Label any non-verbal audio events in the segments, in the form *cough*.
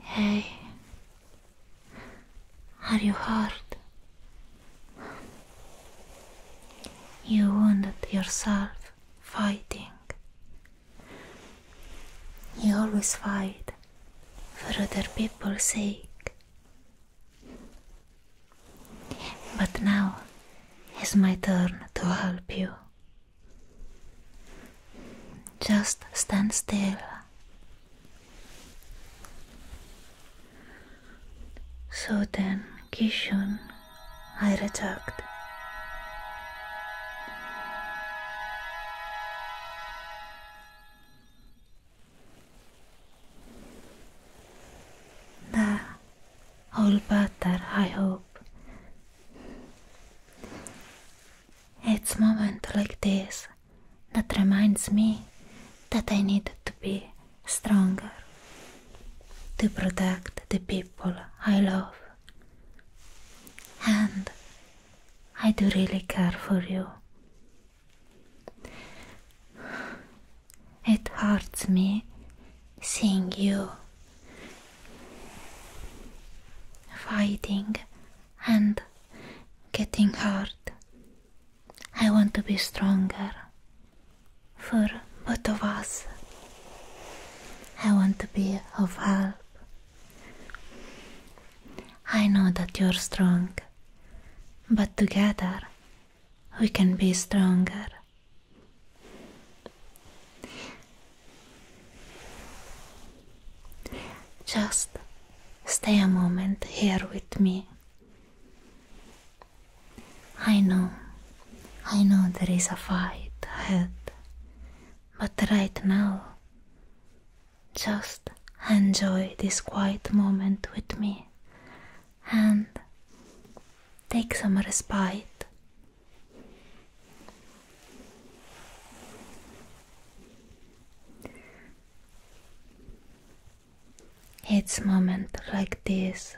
Hey, are you hurt? You wounded yourself fighting. You always fight for other people's sake. But now it's my turn to help you. Just stand still. So then, Kishun, I reject. There, all better, I hope. It's moments like this that reminds me that I need to be stronger to protect the people I love. And I do really care for you. It hurts me seeing you fighting and getting hurt. I want to be stronger for both of us. I want to be of help. I know that you're strong, but together we can be stronger. Just stay a moment here with me. I know, I know there is a fight ahead, but right now, just enjoy this quiet moment with me and take some respite it's moments like this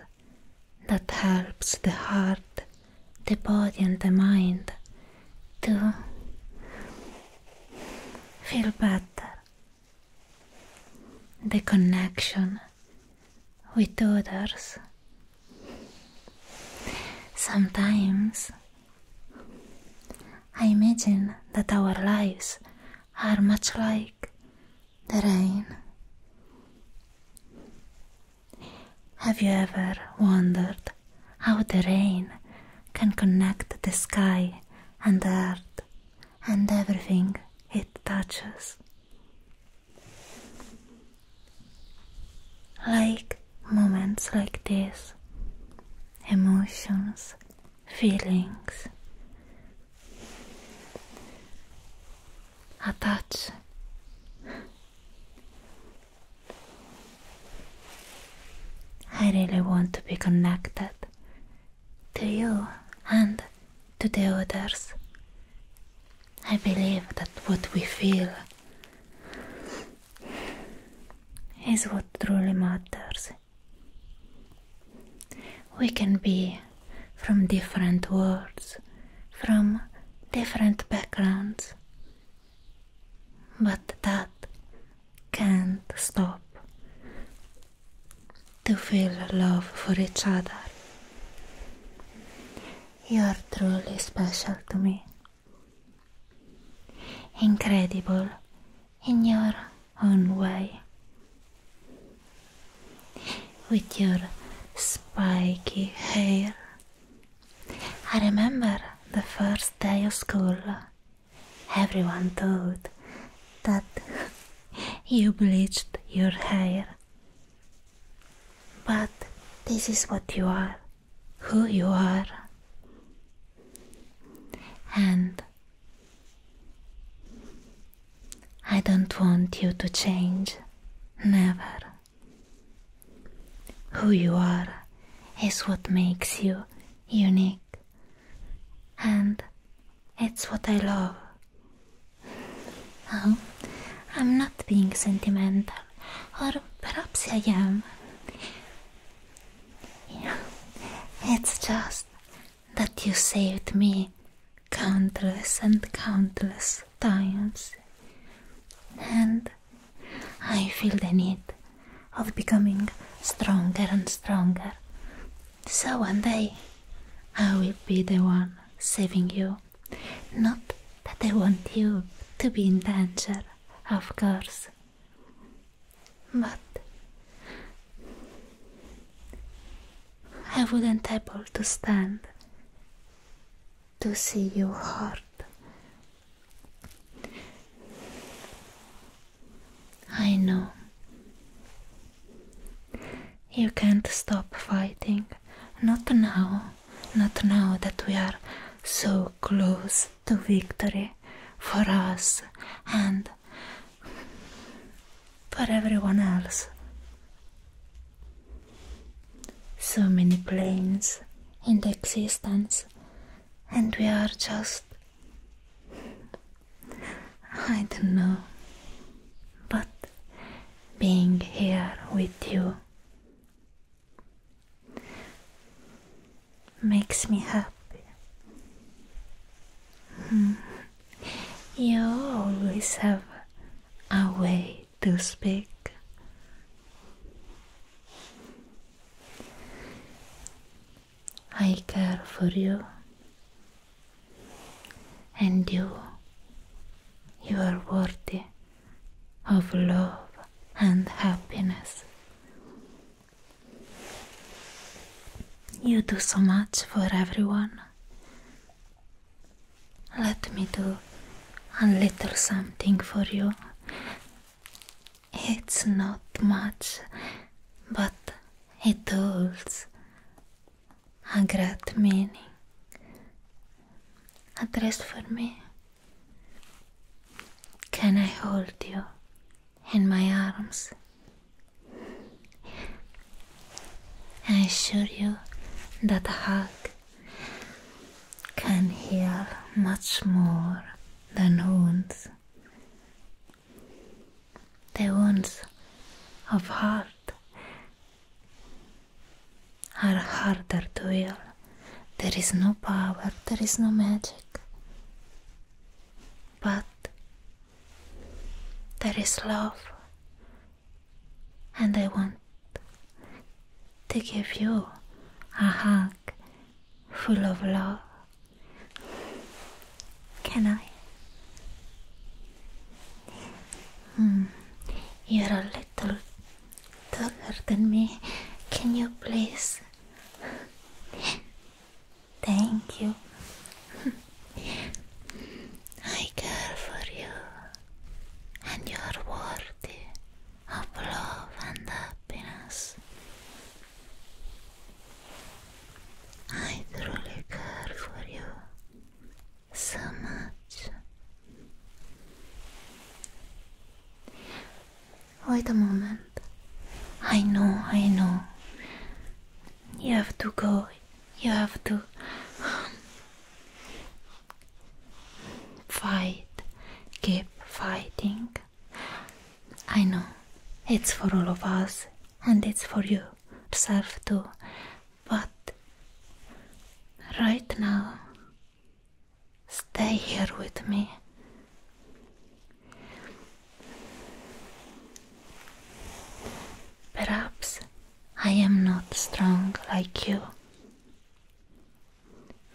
that helps the heart, the body and the mind to feel better. The connection with others. Sometimes I imagine that our lives are much like the rain. Have you ever wondered how the rain can connect the sky and earth and everything it touches? Like moments like this, emotions, feelings attach. I really want to be connected to you and to the others. I believe that what we feel is what truly matters. We can be from different worlds, from different backgrounds, but that can't stop to feel love for each other. You are truly special to me. Incredible in your own way. With your spiky hair. I remember the first day of school. Everyone thought that *laughs* you bleached your hair but this is what you are, who you are. And I don't want you to change, never. Who you are is what makes you unique, and it's what I love Oh, I'm not being sentimental, or perhaps I am. It's just that you saved me countless and countless times, and I feel the need of becoming stronger and stronger. So one day I will be the one saving you not that I want you to be in danger, of course. But I wouldn't be able to stand to see you hurt. I know you can't stop fighting. Not now. Not now that we are so close to victory for us and for everyone else. So many planes in existence, and we are just. I don't know. But being here with you. Makes me happy. Hmm. You always have a way to speak. I care for you and you. You are worthy of love and happiness. You do so much for everyone. Let me do a little something for you. It's not much, but it holds a great meaning, a dress for me. Can I hold you in my arms? I assure you that a hug can heal much more than wounds. The wounds of heart are harder to heal. There is no power, there is no magic. But there is love, and I want to give you a hug full of love. Can I? Hmm. You're a little taller than me. Can you please? Thank you. I care for you, and you're worthy of love and happiness. I truly care for you, so much. Wait a moment. I know, I know. You have to go. You have to fight. Keep fighting. I know. It's for all of us and it's for you yourself too. But right now, stay here with me. Perhaps I am not strong like you,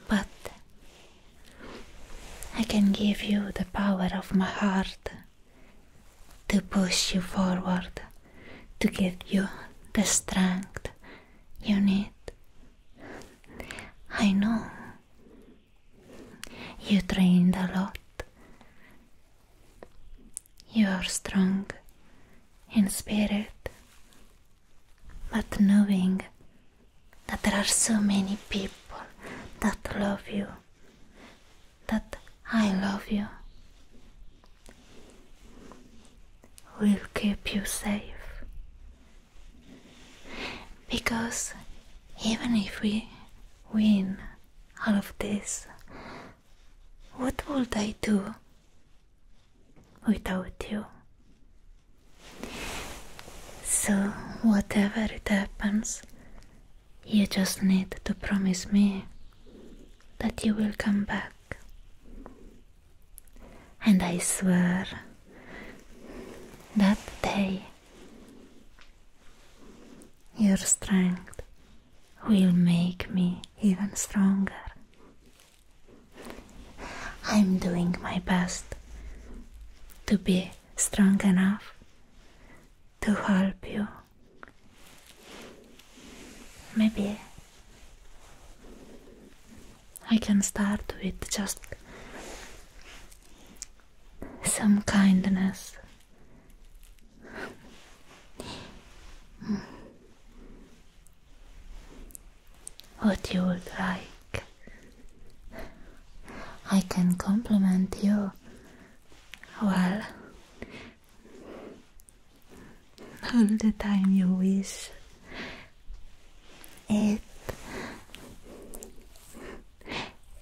but I can give you the power of my heart to push you forward to give you the strength you need. I know you trained a lot. You are strong in spirit, but knowing that there are so many people that love you, that I love you, will keep you safe. Because even if we win all of this, what would I do without you? So, whatever it happens, you just need to promise me that you will come back. And I swear that day your strength will make me even stronger. I'm doing my best to be strong enough to help you Maybe I can start with just some kindness. What you would like. I can compliment you Well all the time you wish it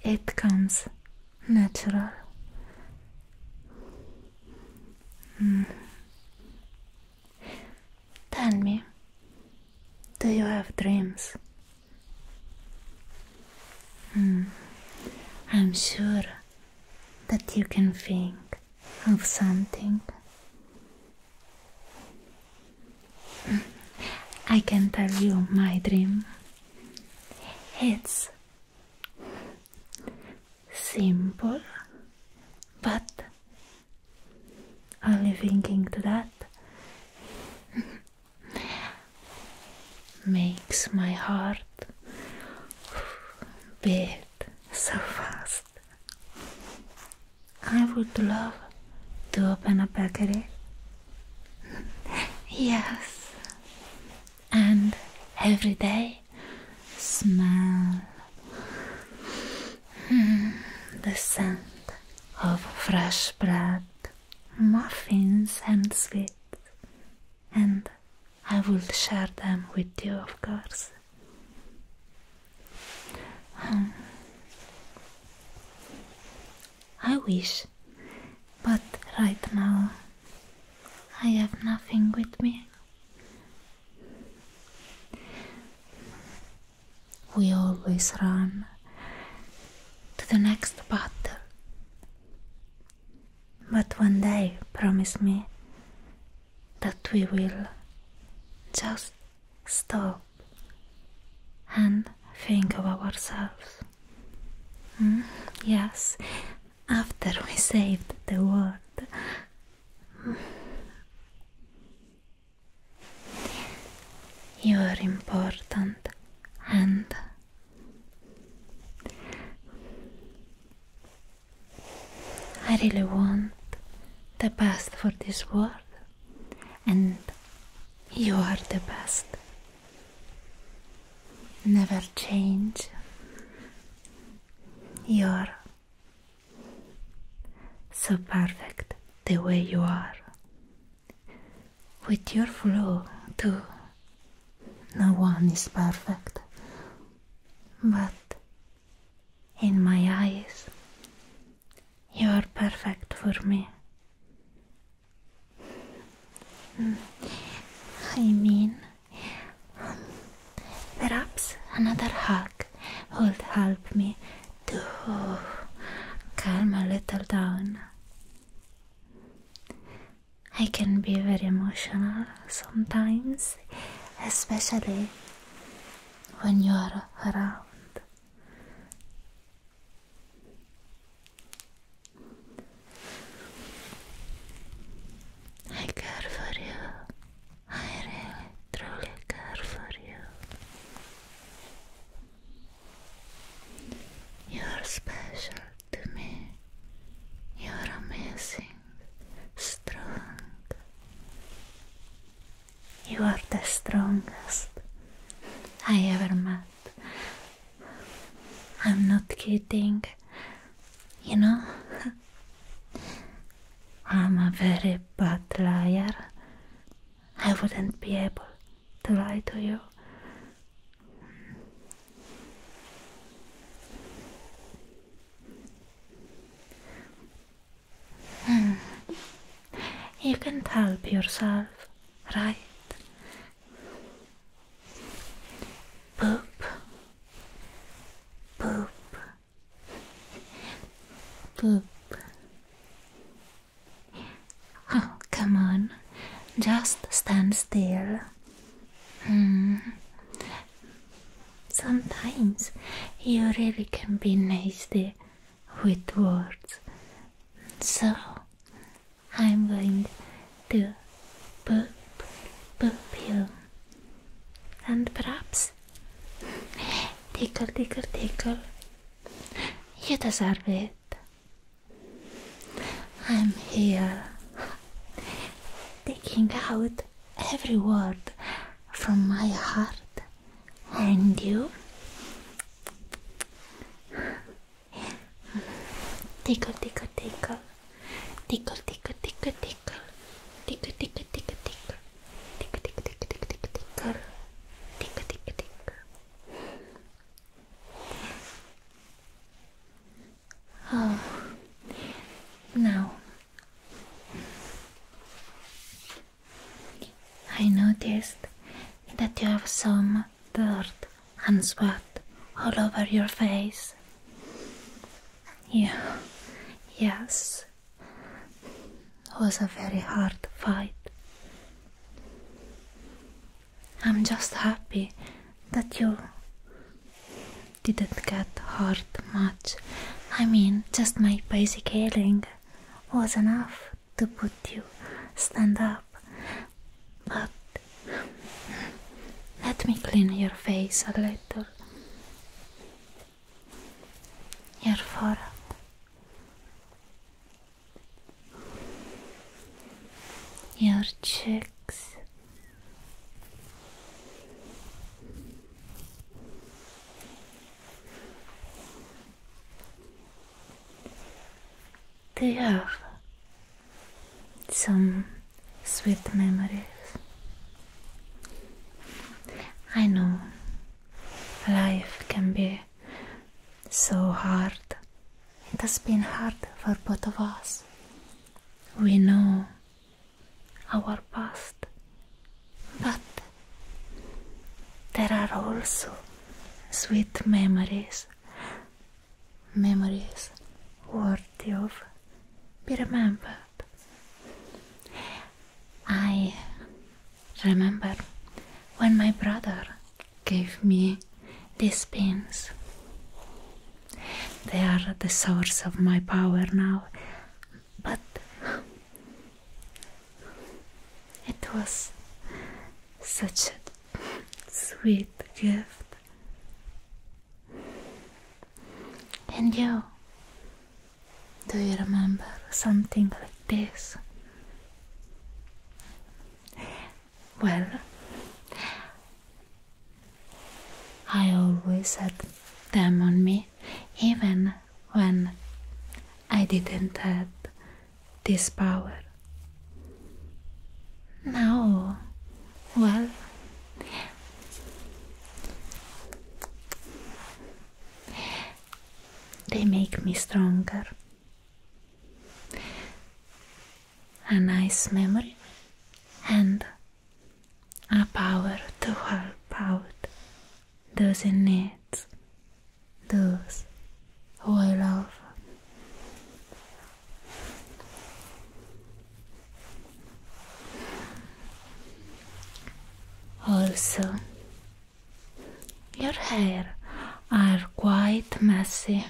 it comes natural mm. tell me do you have dreams mm. i'm sure that you can think of something. I can tell you my dream. It's simple, but only thinking to that makes my heart big so fast. I would love to open a package. *laughs* yes, and every day smell *laughs* the scent of fresh bread, muffins, and sweets, and I will share them with you, of course. Hmm. I wish, but right now I have nothing with me. We always run to the next battle. But one day, promise me, that we will just stop and think of ourselves. Hmm? Yes, after we saved the world. Hmm. You are important and I really want the best for this world, and you are the best. Never change. You're so perfect the way you are. With your flow, too. No one is perfect, but in my eyes. You are perfect for me. Mm. I mean, perhaps another hug would help me to calm a little down. I can be very emotional sometimes especially when you're around. I care for you. I really, truly care for you. You're special to me. You're amazing strong. You are the strongest I ever met. I'm not kidding. You know, *laughs* I'm a very bad liar. I wouldn't be able to lie to you. *sighs* You can't help yourself, right? Poop. Poop. Poop. Oh, come on. Just stand still. Hmm. Sometimes you really can be nasty with words. So I'm going to boop, boop you. And perhaps tickle, tickle, tickle. You deserve it. I'm here taking out every word from my heart. And you? Tickle, tickle, tickle. Tickle, tickle, tickle, tickle. Tickle, tickle, tickle, tickle. Tickle, tickle, tickle, tickle, tickle, tickle. Tickle, tickle, tickle. Oh, now I noticed that you have some dirt and sweat all over your face. Yeah, yes, it was a very hard fight. I'm just happy that you didn't get hurt much. I mean, just my basic healing was enough to put you stand up. But let me clean your face a little. Your forehead. Your cheeks. They have some sweet memories. I know life can be so hard. It has been hard for both of us. We know our past, but there are also sweet memories, memories worthy of be remembered. I remember when my brother gave me these pins. They are the source of my power now but it was such a sweet gift. And you, do you remember something like this? Well, I always had them on me, even when I didn't have this power. Now, well, they make me stronger. A nice memory and a power to help out those in need, those who I love. Also, your hair are quite messy,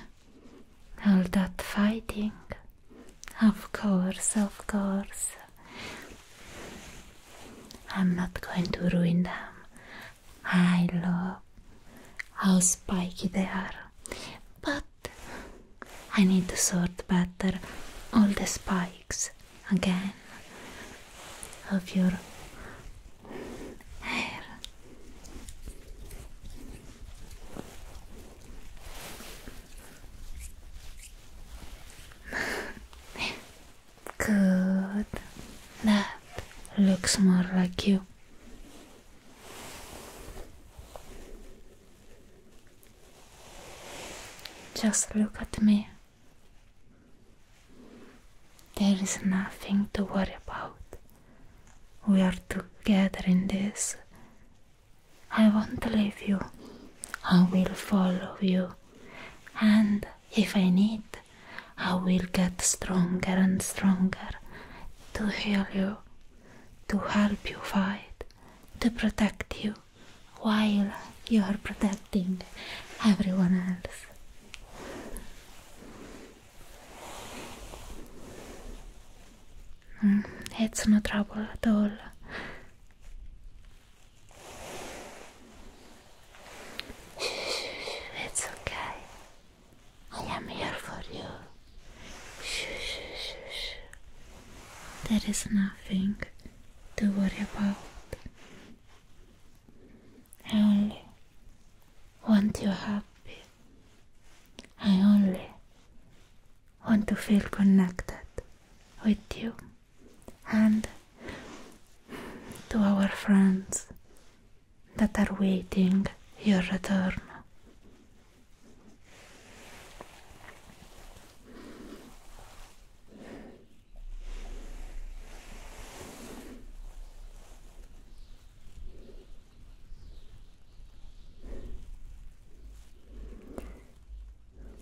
all that fighting of course, of course. I'm not going to ruin them. I love how spiky they are, but I need to sort better all the spikes again of your hair. *laughs* Good. That looks more like you. Just look at me. There is nothing to worry about. We are together in this, I won't leave you. I will follow you. And if I need, I will get stronger and stronger to heal you, to help you fight, to protect you while you are protecting everyone else it's no trouble at all. It's okay. I am here for you. There is nothing to worry about. I only want you happy. I only want to feel connected with you and to our friends that are waiting your return.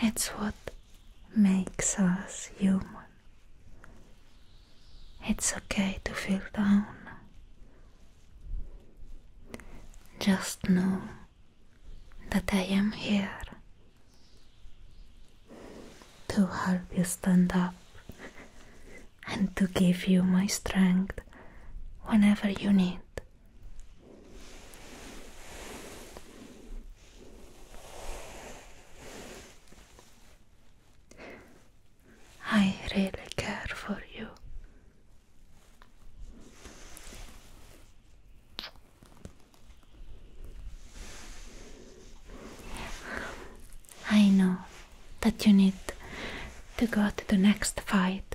It's what makes us human. It's okay to feel down. Just know that I am here to help you stand up and to give you my strength whenever you need. I really care for you. I know that you need to go to the next fight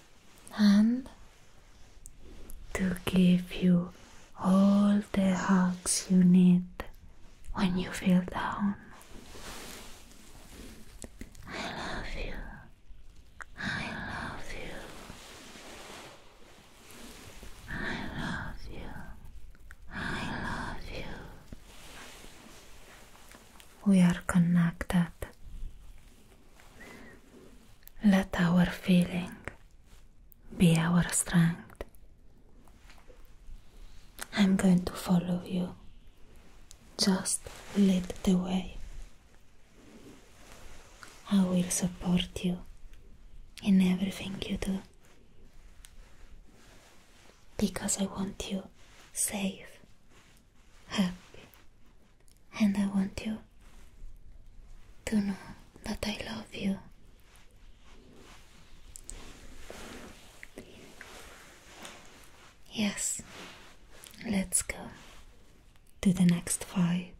and to give you all the hugs you need when you feel down. I love you. I love you. I love you. I love you we are connected. Let our feeling be our strength. I'm going to follow you. Just lead the way. I will support you in everything you do because I want you safe happy, *laughs* and I want you to know that I love you. Yes, let's go to the next fight.